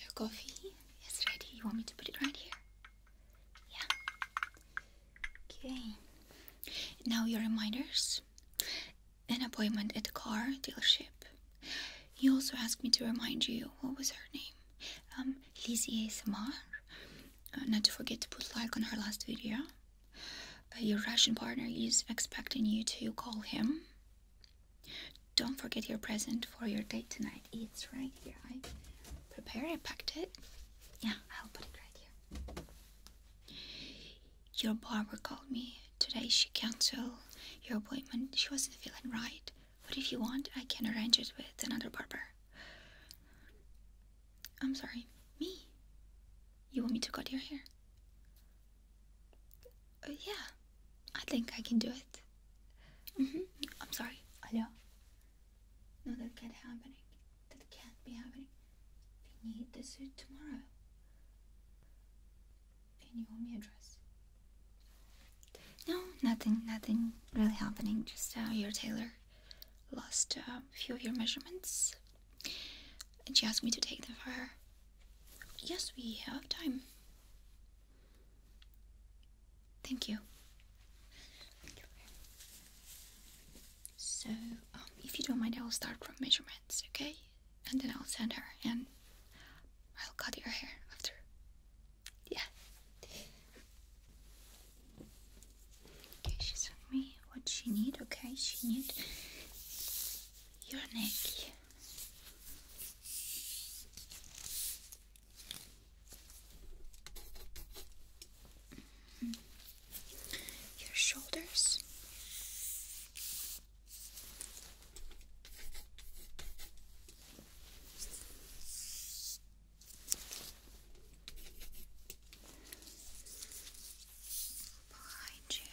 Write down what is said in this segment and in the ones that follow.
Your coffee is ready. You want me to put it right here? Yeah. Okay. Now your reminders. An appointment at the car dealership. You also asked me to remind you what was her name? Um, Lizzie Samar. Uh, not to forget to put like on her last video. Uh, your Russian partner is expecting you to call him. Don't forget your present for your date tonight. It's right here. I prepared I packed it. Yeah, I'll put it right here. Your barber called me. Today she canceled your appointment. She wasn't feeling right. But if you want, I can arrange it with another barber. I'm sorry, me? You want me to cut your hair? Uh, yeah, I think I can do it. Mm-hmm. I'm sorry. Hello? No, that can't happen. That can't be happening. We need the suit tomorrow. Can you hold me a dress? No, nothing, nothing really happening. Just uh, your tailor lost a few of your measurements. And she asked me to take them for her. Yes, we have time. Thank you. So, um, if you don't mind, I will start from measurements, okay? And then I'll send her and I'll cut your hair after. Yeah. Okay, she sent me what she need, okay? She need your neck. Your shoulders. Behind you,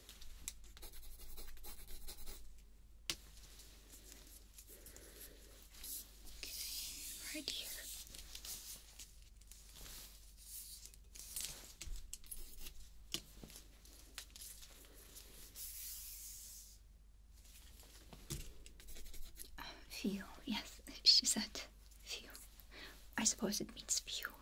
Okay, right here. Uh, few, yes, she said Feel, I suppose it means few.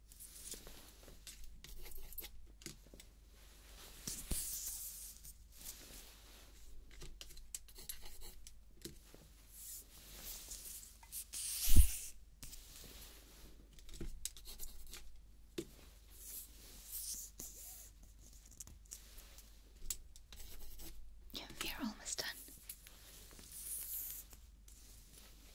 Yeah, we are almost done.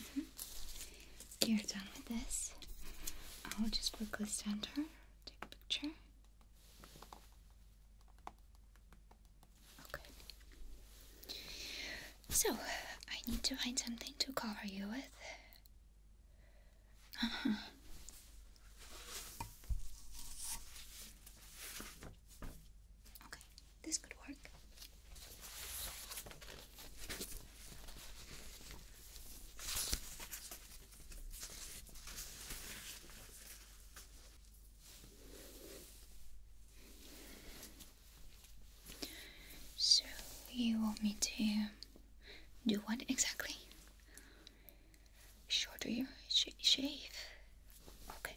Mm-hmm. You're done with this. I'll just quickly stand her, take a picture. Okay. So, I need to find something to cover you with. Uh huh. Okay. This could work. So, you want me to do what exactly? Shorter your shave? Okay.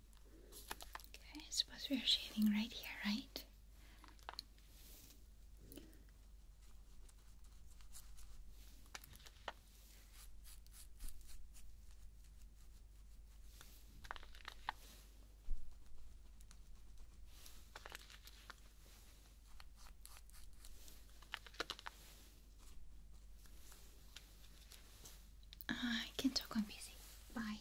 Okay, I suppose we are shaving right here, right? Uh, I can talk on busy. Bye.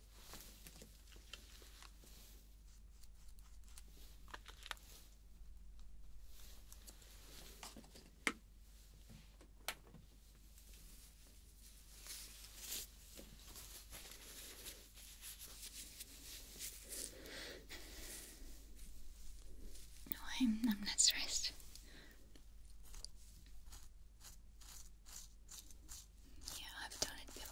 No, I'm, I'm not stressed. Yeah, I've done it before.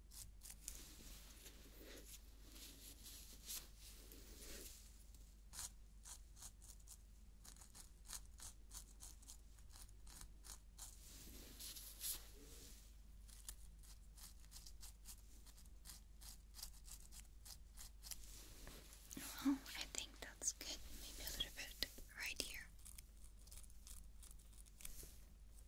Well, I think that's good. Maybe a little bit right here.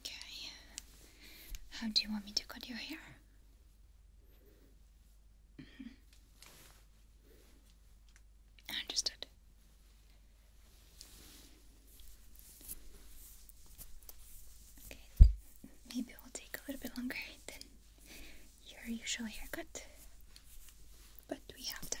Okay. How do you want me to cut your hair? Mm-hmm. Understood. Okay, maybe we'll take a little bit longer your usual haircut, but we have time.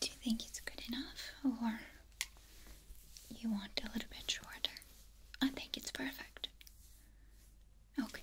Do you think it's good enough or you want a little bit shorter? I think it's perfect. Okay.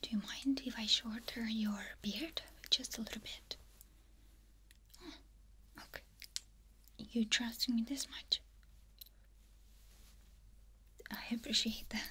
Do you mind if I shorten your beard just a little bit? Oh, okay. You trust me this much? I appreciate that.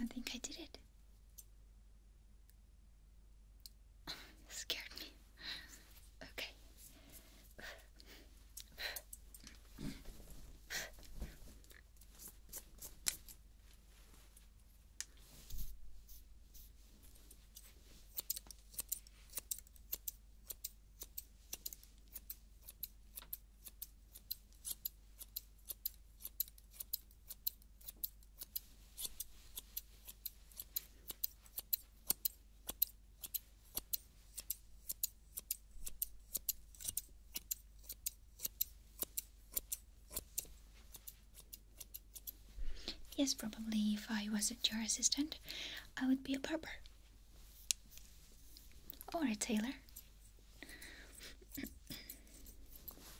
I think I did it. scared me. Okay. Yes, probably if I wasn't your assistant, I would be a barber. Or a tailor.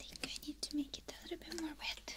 I think I need to make it a little bit more wet.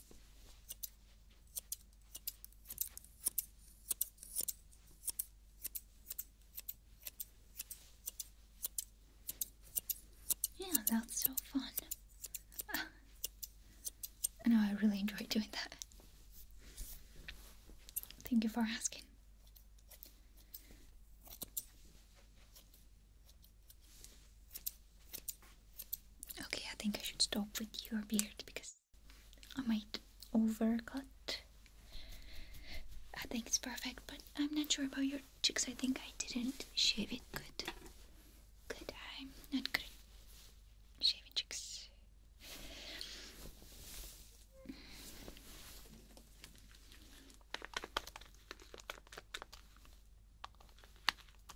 Yeah, that's so fun. Ah. I know I really enjoy doing that. Thank you for asking. Okay, I think I should stop with your beard because I might overcut. I think it's perfect, but I'm not sure about your cheeks. I think I didn't shave it good. Good, I'm not good shaving cheeks.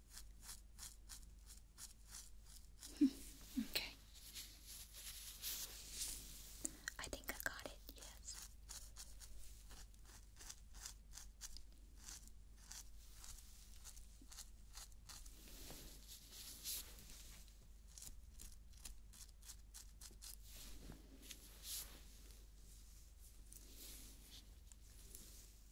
okay. I think I got it, yes.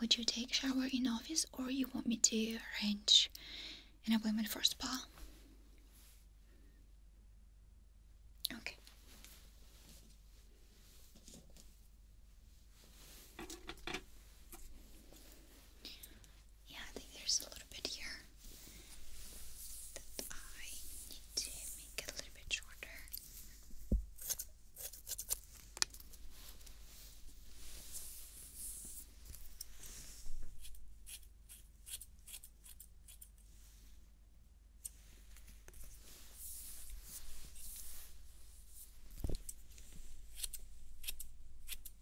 Would you take shower in office or you want me to arrange an appointment for spa? Okay. Yeah, I think there's a little bit here that I need to make a little bit shorter.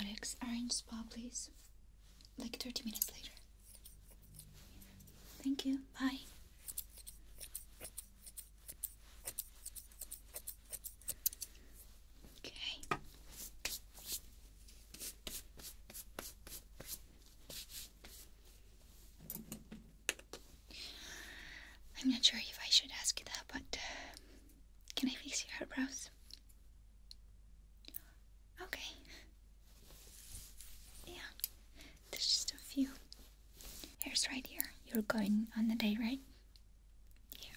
Alex, orange spa, please. Like 30 minutes later. Thank you. Bye. Okay. I'm not sure if I should ask you that, but uh, can I fix your eyebrows? Okay. Yeah, there's just a few Here's right here. You're going on the day, right? Yeah.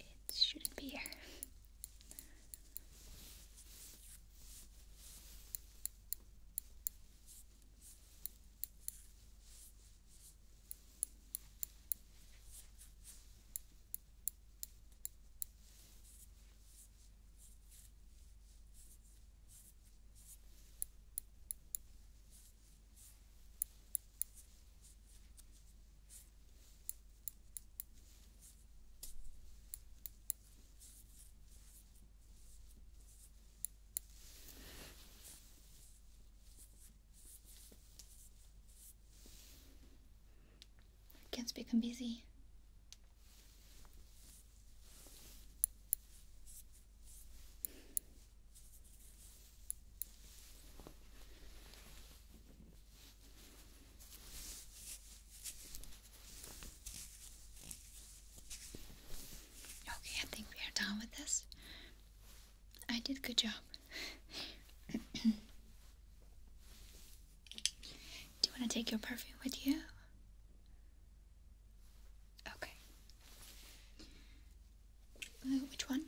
It shouldn't be here. Can't Kids become busy. Okay, I think we are done with this. I did good job. Do you want to take your perfume with you? Okay. Uh, which one?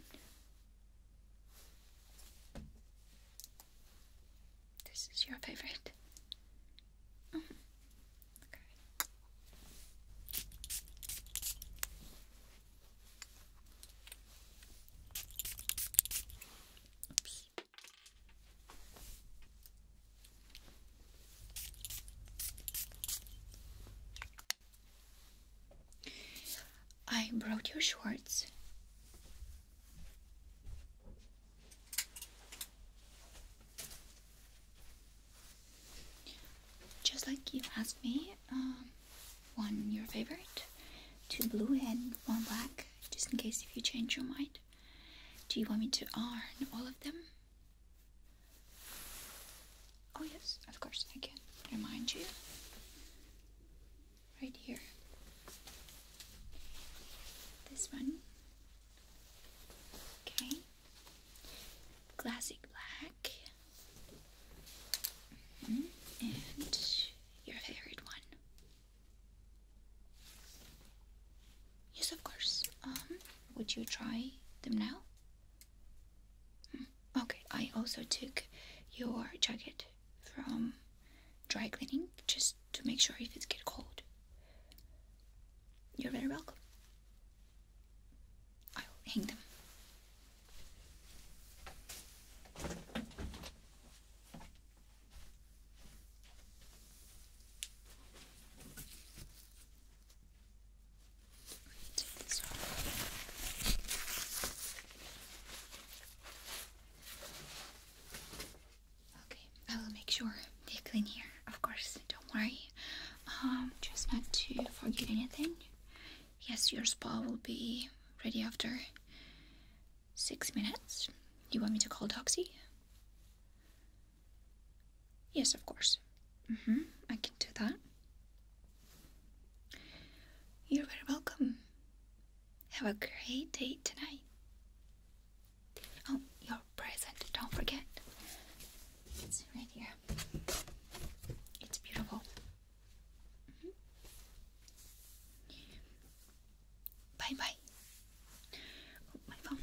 This is your favorite. Oh, okay. Oops. I brought your shorts. Just like you asked me, um, one your favorite, two blue and one black, just in case if you change your mind. Do you want me to iron all of them? Oh, yes, of course, I can remind you. Right here. This one. Okay. Classic black. Mm-hmm. And your favorite one. Yes, of course. Um, would you try them now? Hmm, okay, I also took your jacket from dry cleaning just to make sure if it's gets cold. You're very welcome. I'll hang them. Okay, I will make sure they clean here. Of course, don't worry. Um, just not to forget anything. Yes, your spa will be ready after six minutes. Do you want me to call Doxy? Yes, of course. Mm-hmm. I can do that. You're very welcome. Have a great day tonight. Oh, your present, don't forget. It's right here. It's beautiful. Mm-hmm. Bye bye. Oh, my phone.